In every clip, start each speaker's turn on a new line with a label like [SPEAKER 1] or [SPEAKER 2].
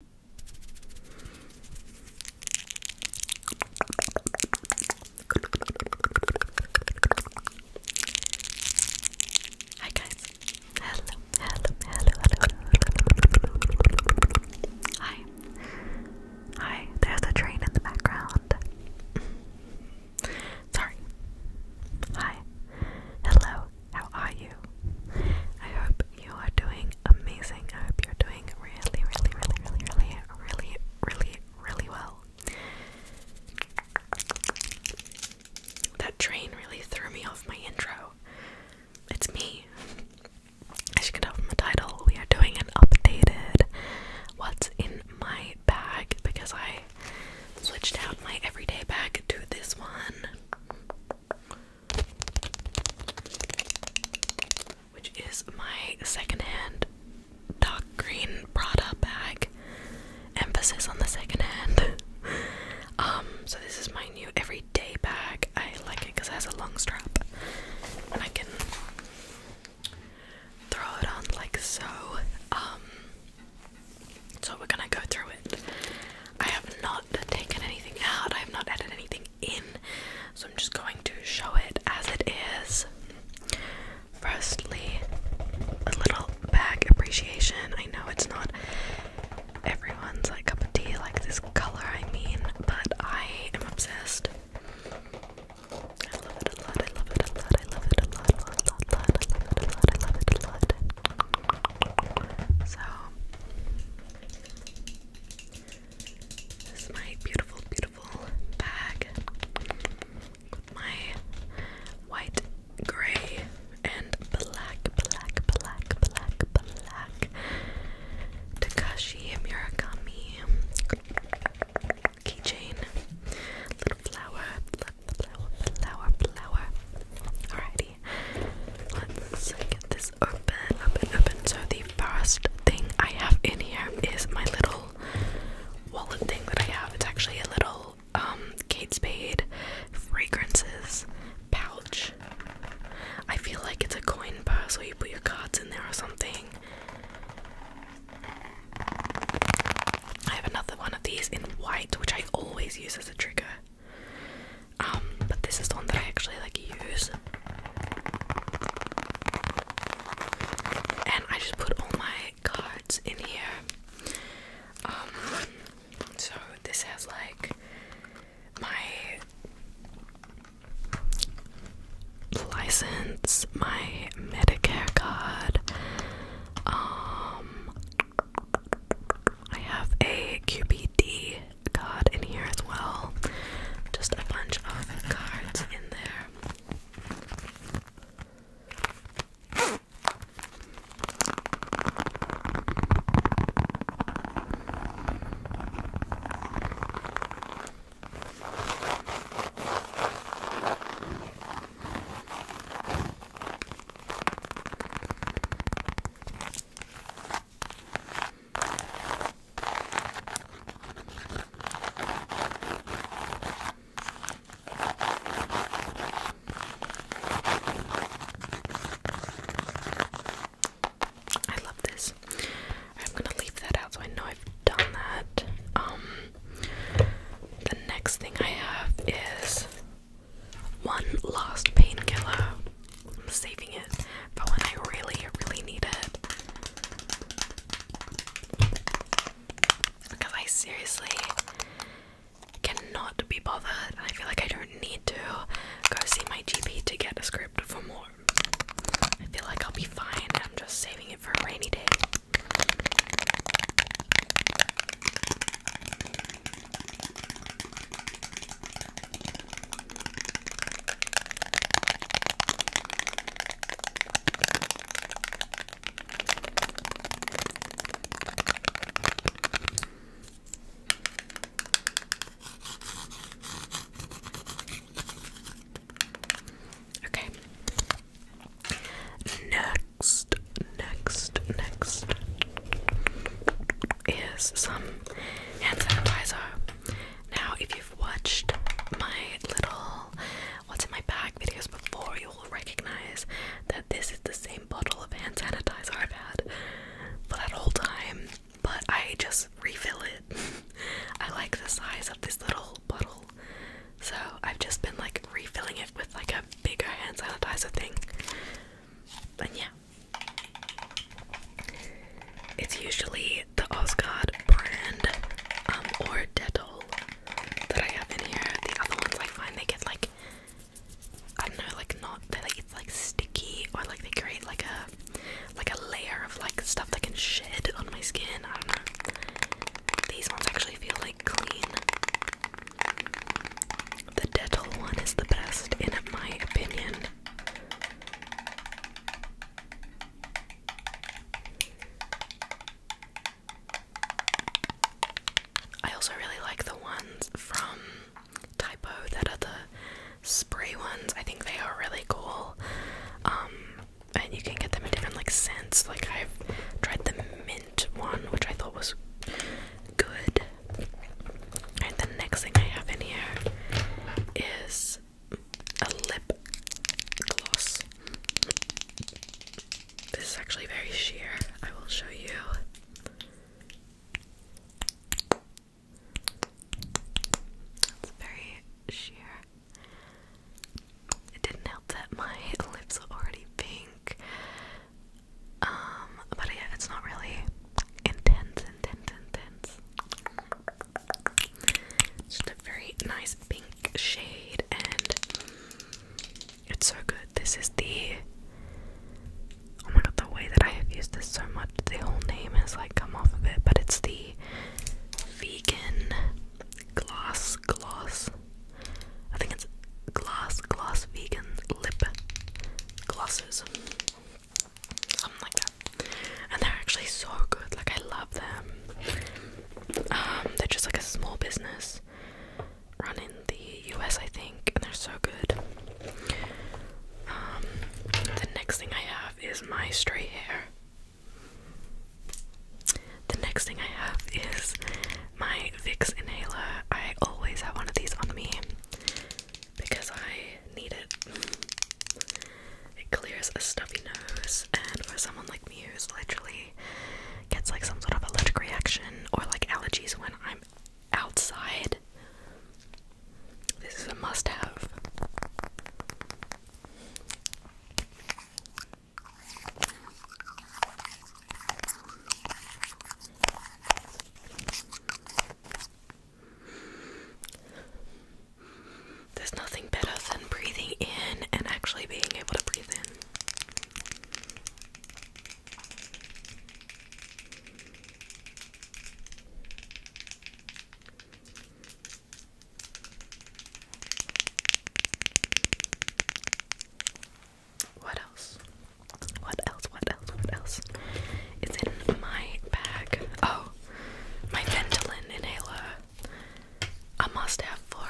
[SPEAKER 1] Hi guys. Hello, hello, hello, hello. Hi. Hi, there's a train in the background. Sorry. Hi. Hello. How are you? I hope you are doing amazing. I hope you're doing really, really, really, really, really, really, really, really well. That train really threw me off my intro. It's me. As you can tell from the title, we are doing an updated What's in My Bag because I switched out my everyday bag to this one which is my secondhand dark green Prada bag. Emphasis on the secondhand. Um, so this is my new everyday bag. I like it because it has a long strap, and I can throw it on like so. Um, so we're gonna go through it. I have not taken anything out, I have not added anything in, so I'm just going to show it as it is. Firstly, a little bag appreciation. I know it's not everyone's like cup of tea, like this color, I mean, but I am obsessed. I love it a lot, I love it a lot, I love it a lot, a lot, lot, lot, I love it a lot, I love it a lot. So this is my beautiful, beautiful bag my white, gray, and black, black, black, black, black Takashi Murakami keychain. Little flower, flower, flower, flower. Alright. Let's get this open, open, open. So the first thing I have in here is my little wallet thing that I have. It's actually a little um, Kate Spade fragrances pouch. I feel like it's a coin purse where you put your cards in there or something. I have another one of these in white, which I always use as a trigger. Um, but this is the one that I actually like use. And I just put all my cards in here. Um, so this has like my license, my Medicare card. Um, I have a QPD card in here as well. Just a bunch of cards in there. I love this. I'm gonna leave that out so I know I've done that. Um the next thing I have is one last painkiller. I'm saving it for when I really, really need it. Because I seriously cannot be bothered, I feel like I don't need to go see my GP to get a script for more. I feel like I'll be fine, I'm just saving it for a rainy day. Okay. Next, next, next is some hand sanitizer. Now, if you've watched my little what's in my bag videos before, you will recognize that this is the same bottle of hand sanitizer I've had for that whole time, but I just refill it. I like the size of this little bottle, so I've just been like refilling it with like a bigger hand sanitizer thing. But yeah, it's usually the Oscard brand um, or Dettol that I have in here. The other ones I find they get like, I don't know, like not, they like, it's like sticky or like they create like a, like a layer of like stuff that can shed on my skin. I don't know. These ones actually feel like clean. The Dettol one is the best in my opinion. I also really like the ones from Typo that are the spray ones. I think they are really cool. Um, and you can get them in different like scents. Like I've tried the mint one, which I thought was good. Alright, the next thing I have in here is a lip gloss. This is actually very sheer. I will show you. It's very sheer. It didn't help that my lips are already pink. Um, but yeah, it's not really intense, intense, intense. It's just a very nice pink shade, and it's so good. This is the oh my god, the way that I have used this so much, the whole name has like come off of it, but it's the vegan gloss, gloss. I think it's glass, glass vegan lip glosses something like that. And they're actually so good. Like I love them. Um, they're just like a small business run in the US, I think, and they're so good. Um, the next thing I have is my stray hair. The next thing I have is my Vicks inhaler. I always have one of these on me because I need it. It clears a stuffy nose, and for someone like me who's literally gets like some sort of allergic reaction or like allergies when I'm outside, this is a must have. There's nothing better than breathing in and actually being able to breathe in. What else? What else? What else? What else? It's in my bag. Oh, my Ventolin inhaler. A must have for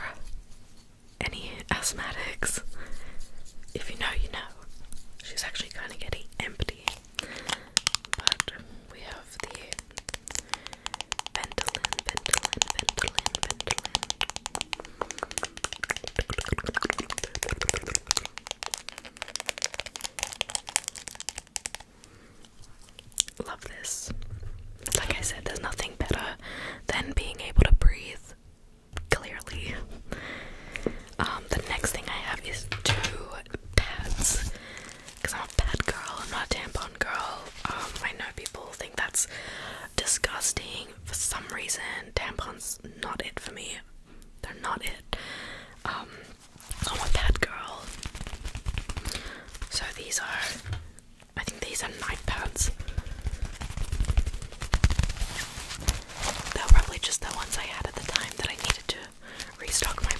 [SPEAKER 1] any asthmatics. If you know, you know. She's actually kind of getting empty. But we have the Ventolin, Ventolin, Ventolin, Ventolin. Love this. Like I said, there's nothing better than being able to breathe clearly. Um, the next thing I have is two pads. Because I'm a pad girl, I'm not a tampon girl. Um, I know people think that's disgusting. For some reason, tampons not it for me they're not it. Um, I'm a bad girl. So these are, I think these are night pads. They are probably just the ones I had at the time that I needed to restock my bag.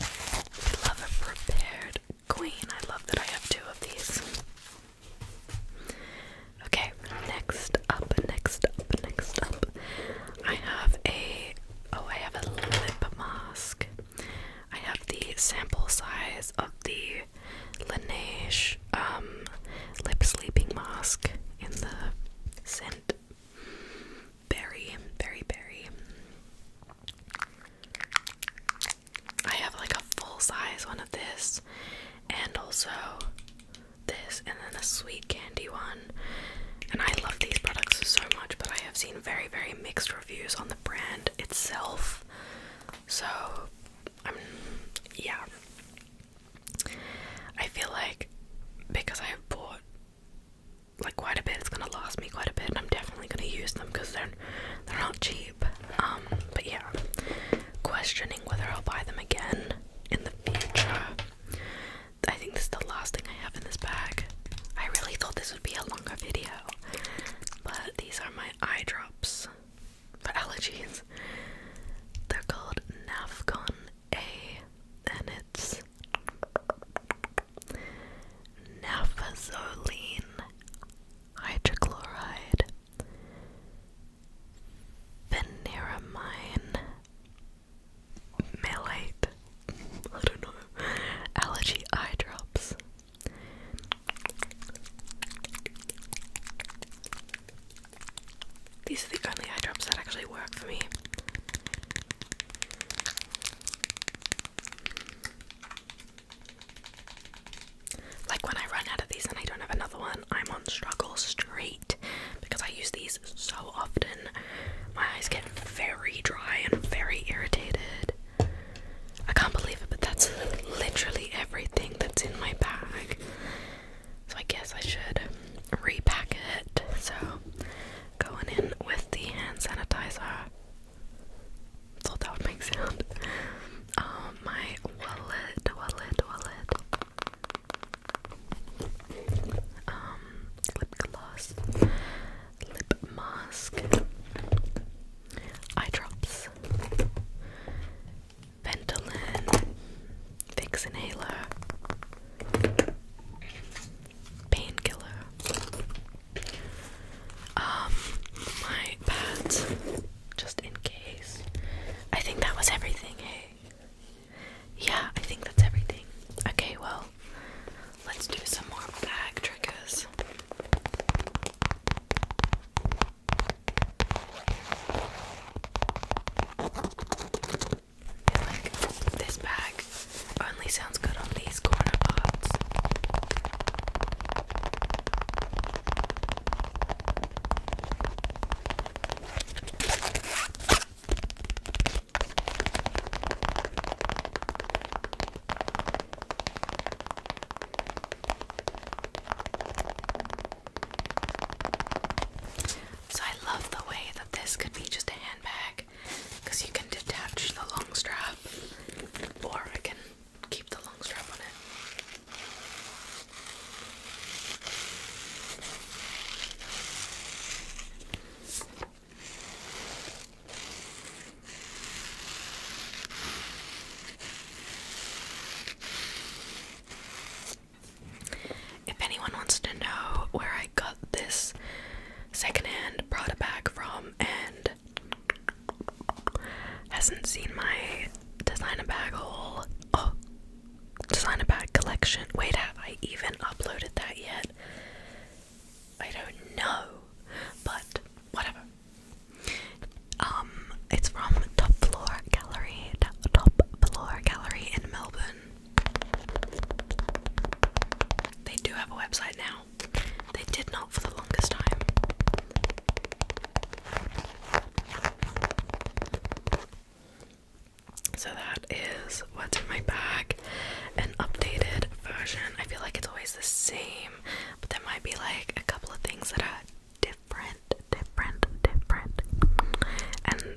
[SPEAKER 1] I love a prepared queen. I love that I have two of these. Okay, next up, next up, next up. I have a oh, I have a lip mask. I have the sample size of the Laneige um lip sleeping mask in the scent berry, berry, berry. I have like a full size one of this, and also this, and then a sweet candy one. And I love these products so much, but I have seen very, very mixed reviews on the brand itself. So, i yeah. I feel like because I have bought like quite a bit. It's gonna last me quite a bit, and I'm definitely gonna use them because they're they're not cheap. Um, but yeah, questioning whether I'll buy them again in the future. I think this is the last thing I have in this bag. I really thought this would be a longer video, but these are my eye drops for allergies. They're called Navcon A, and it's nafazoline hydrochloride, veneramine malate, I don't know, allergy eye drops. These are the only eye drops that actually work for me. Like when I run out of these and I don't have another one, I'm on struggle straight because I use these so often. My eyes get very dry and very irritated. I can't believe it, but that's literally everything that's in my bag. So I guess I should repack it. So Going in with the hand sanitizer. Thought that would make sound. my wallet, wallet, wallet. Um, lip gloss, lip mask, eye drops, Ventolin, Vicks inhaler painkiller. Um, my pads, just in case. I think that was everything, hey? Yeah, I think that's everything. Okay, well, let's do some more bag triggers like this bag only sounds good on these corner parts. So I love the way that this could be just a handbag because you can detach the long strap, or I can keep the long strap on it. If anyone wants to know where I got this secondhand it back from and hasn't seen my designer bag haul. Oh, designer bag collection. Wait, have I even uploaded that yet? I don't know, but whatever. Um, it's from Top Floor Gallery, Top Floor Gallery in Melbourne. They do have a website now. They did not for the longest time. So that is what's in my bag. An updated version. I feel like it's always the same, but there might be like a couple of things that are different, different, different. And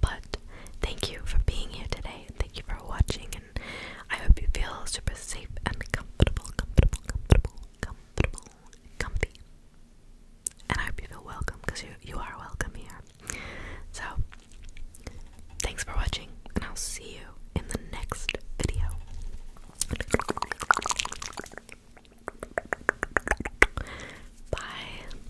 [SPEAKER 1] But thank you for being here today. Thank you for watching, and I hope you feel super safe and comfortable, comfortable, comfortable, comfortable, comfy. And I hope you feel welcome because you you are welcome here. So thanks for watching, and I'll see you in the next video. Bye.